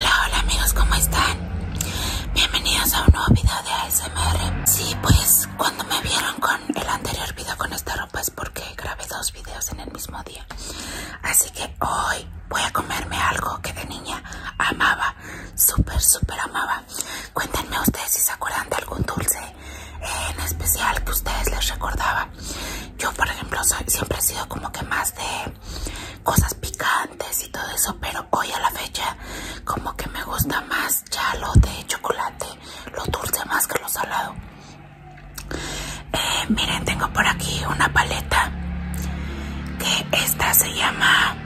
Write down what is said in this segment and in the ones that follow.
Hola, hola amigos, ¿cómo están? Bienvenidos a un nuevo video de ASMR Sí, pues cuando me vieron con el anterior video con esta ropa es porque grabé dos videos en el mismo día Así que hoy voy a comerme algo que de niña amaba, súper, súper amaba Cuéntenme ustedes si se acuerdan de algún dulce en especial que ustedes les recordaba Yo por ejemplo siempre he sido como que más de cosas picantes y todo eso, pero hoy a la fecha como que me gusta más ya de chocolate, lo dulce más que lo salado. Eh, miren, tengo por aquí una paleta que esta se llama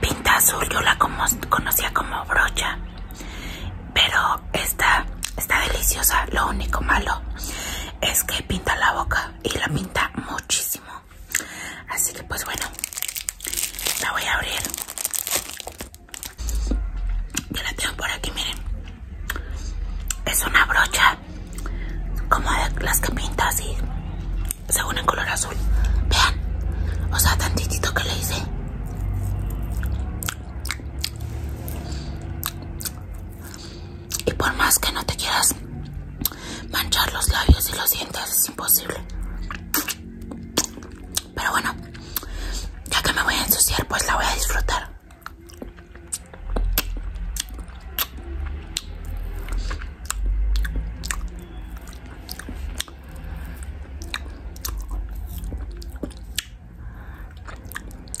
pinta azul, yo la conocía como brocha, pero esta está deliciosa, lo único malo es que pinta la boca y la pinta muchísimo así que pues bueno la voy a abrir yo la tengo por aquí miren es una brocha como de las que pinta así según el color azul vean o sea tantitito que le hice y por más que no te quieras manchar los labios y los dientes, es imposible. Pero bueno, ya que me voy a ensuciar, pues la voy a disfrutar.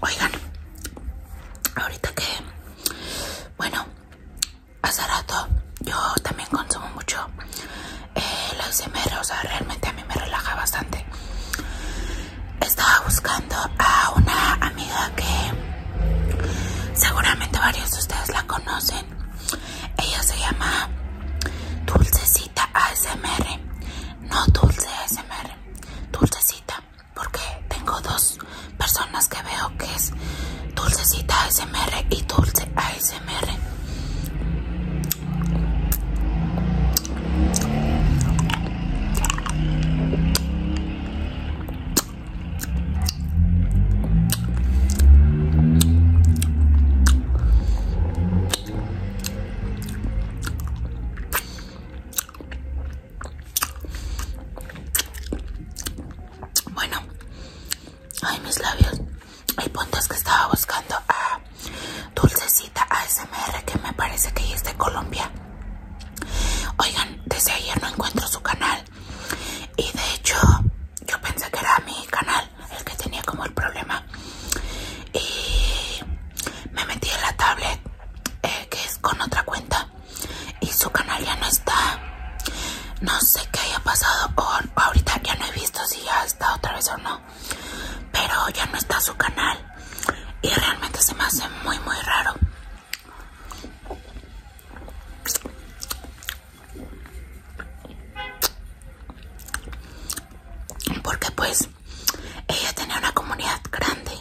Oigan, ahorita que, bueno, hace rato yo también consumo mucho eh, el ASMR, o sea, realmente a mí me relaja bastante. Estaba buscando a una amiga que seguramente varios de ustedes la conocen. Ella se llama Dulcecita ASMR, no Dulce ASMR. Dulcecita, porque tengo dos personas que veo que es Dulcecita ASMR y Dulce ASMR. Bueno, ay, mis labios. hay puntos que estaba buscando a Dulcecita ASMR, que me parece que es de Colombia. Oigan, desde ayer no encuentro su canal. Y de hecho, yo pensé que era mi canal el que tenía como el problema. Y me metí en la tablet eh, que es con otra cuenta y su canal ya no está no sé qué haya pasado ahorita ya no he visto si ya está otra vez o no pero ya no está su canal y realmente se me hace muy muy raro porque pues ella tenía una comunidad grande.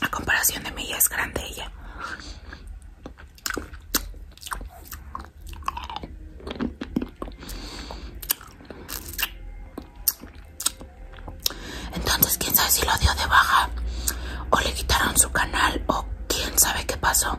A comparación de mí, Ella es grande ella. Entonces, quién sabe si lo dio de baja o le quitaron su canal o quién sabe qué pasó.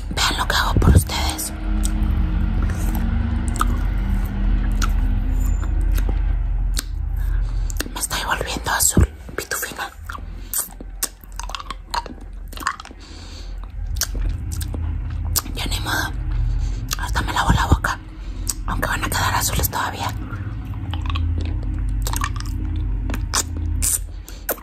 Vean lo que hago por ustedes. Me estoy volviendo azul, pitufina. Ya ni modo. Ahorita me lavo la boca. Aunque van a quedar azules todavía.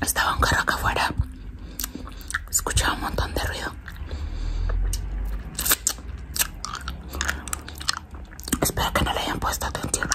Estaba un carro acá afuera. Escuchaba un montón de ruido. Espero que no le hayan puesto atención.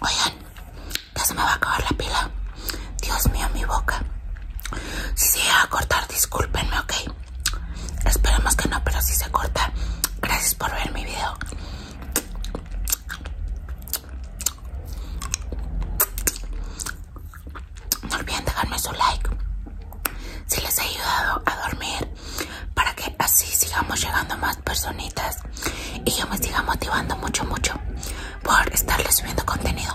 Oigan, ya se me va a acabar la pila. Dios mío, mi boca. Si se va a cortar, discúlpenme, ok. Esperemos que no, pero si se corta. Gracias por ver mi video. No olviden dejarme su like si les ha ayudado a dormir para que así sigamos llegando más personitas y yo me siga motivando mucho mucho por estarles subiendo contenido